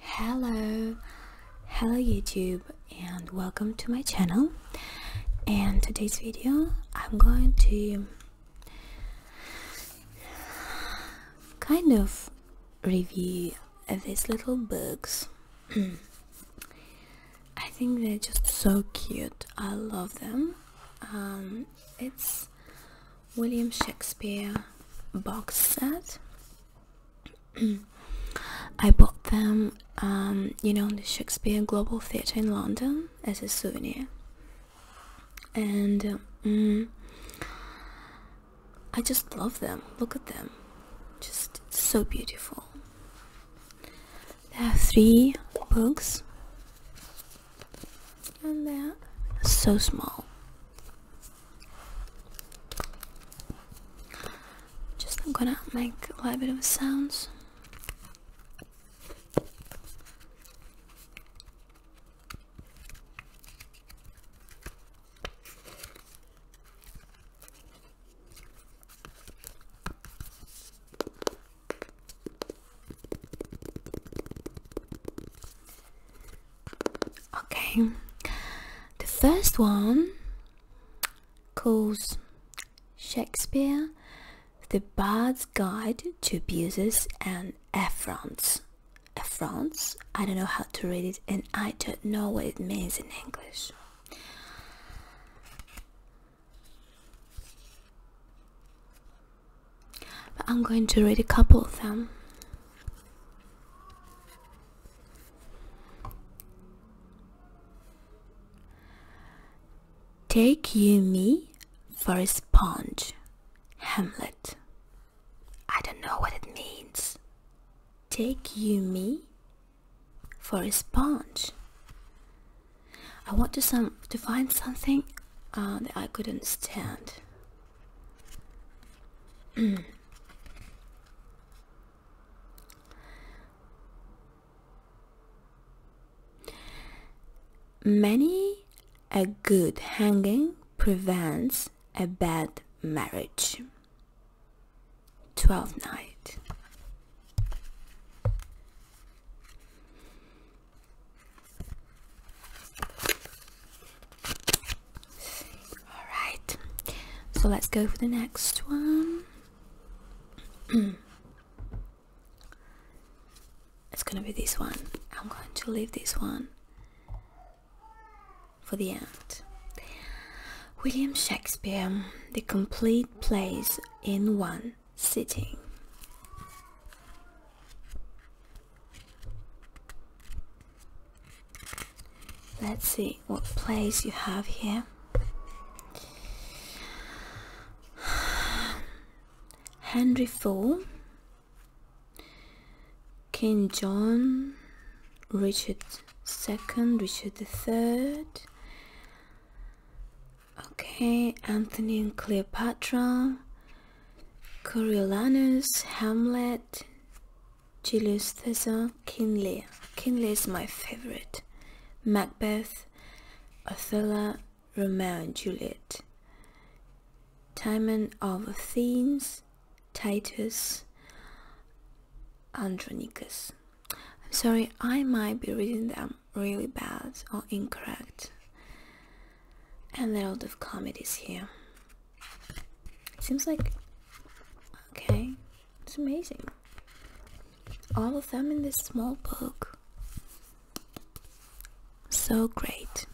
hello hello youtube and welcome to my channel and today's video i'm going to kind of review these little books i think they're just so cute i love them um, it's William Shakespeare box set. I bought them, um, you know, in the Shakespeare Global Theatre in London as a souvenir. And uh, mm, I just love them. Look at them. Just so beautiful. They have three books. And they're so small. Just I'm gonna make a little bit of sounds. Okay, the first one calls Shakespeare the Bard's Guide to Abuses and Affronts. Affronts? I don't know how to read it and I don't know what it means in English. But I'm going to read a couple of them. Take you me for a sponge, Hamlet. I don't know what it means. Take you me for a sponge. I want to some to find something uh, that I could understand. Many a good hanging prevents a bad marriage. Twelfth night. Alright, so let's go for the next one. it's gonna be this one. I'm going to leave this one for the end. William Shakespeare, the complete plays in one sitting. Let's see what plays you have here. Henry IV, King John, Richard II, Richard III, okay, Anthony and Cleopatra, Coriolanus, Hamlet, Julius Caesar, King Lear. King Lear is my favorite. Macbeth, Othello, Romeo and Juliet. Timon of Athens, Titus, Andronicus. I'm sorry, I might be reading them really bad or incorrect and a lot of comedies here. It seems like okay, it's amazing. All of them in this small book. So great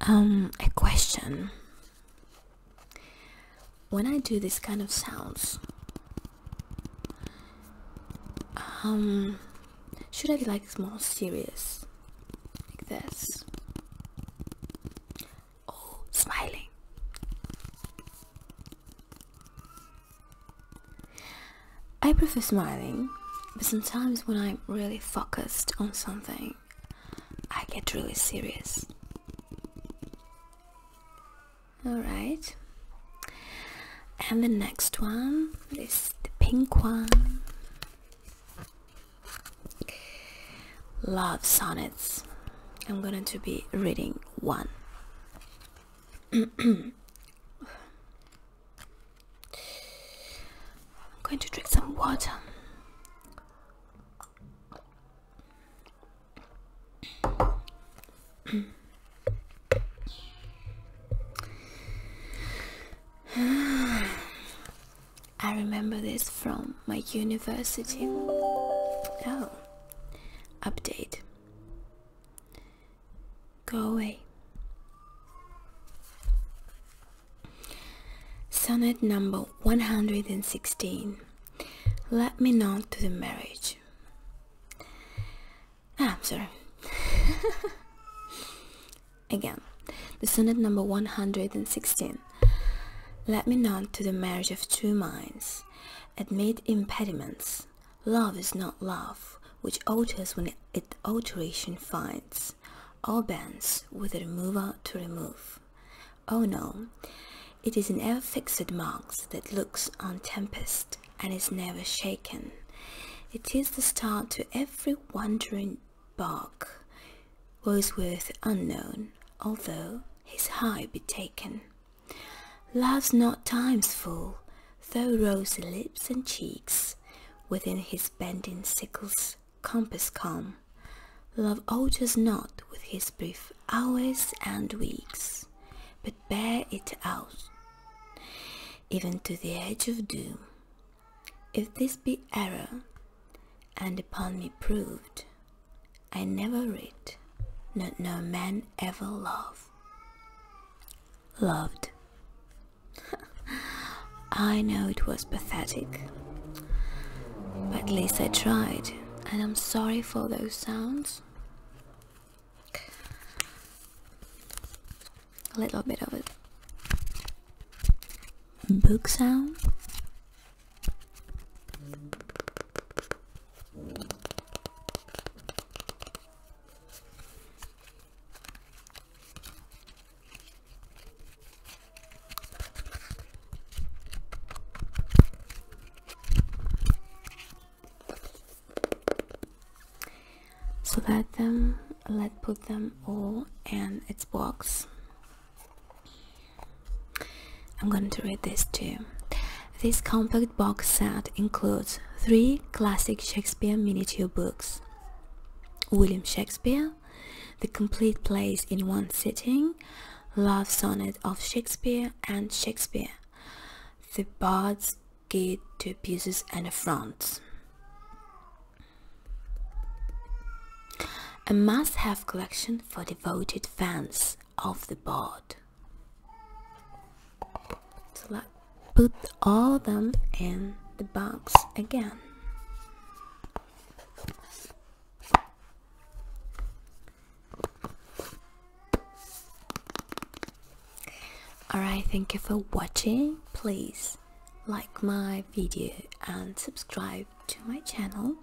um, a question. When I do this kind of sounds, um, should I be like more serious, like this, oh, smiling? I prefer smiling, but sometimes when I'm really focused on something, I get really serious. Alright. And the next one is the pink one. Love sonnets. I'm going to be reading one. I'm going to drink some water. I remember this from my university. Oh, update. Go away. Sonnet number 116 Let me not to the marriage. Ah, I'm sorry. Again, the sonnet number 116 Let me not to the marriage of two minds. Admit impediments. Love is not love, which alters when it alteration finds. All bands with remover to remove. Oh no, it is an ever-fixed mark that looks on tempest and is never shaken. It is the star to every wandering bark. Wordsworth unknown, although his high be taken. Love's not time's fool though rosy lips and cheeks, within his bending sickle's compass calm, love alters not with his brief hours and weeks, but bears it out, even to the edge of doom. If this be error, and upon me proved, I never writ, nor no man ever loved. Loved. I know it was pathetic, but at least I tried, and I'm sorry for those sounds. A little bit of it book sound. So let them let put them all in its box. I'm going to read this too. This compact box set includes three classic Shakespeare miniature books, William Shakespeare, The Complete Plays in One Sitting, Love Sonnet of Shakespeare and Shakespeare, The Bard's Guide to Abuses and Affronts. A must-have collection for devoted fans of the bard so put all them in the box again Alright, thank you for watching. Please like my video and subscribe to my channel.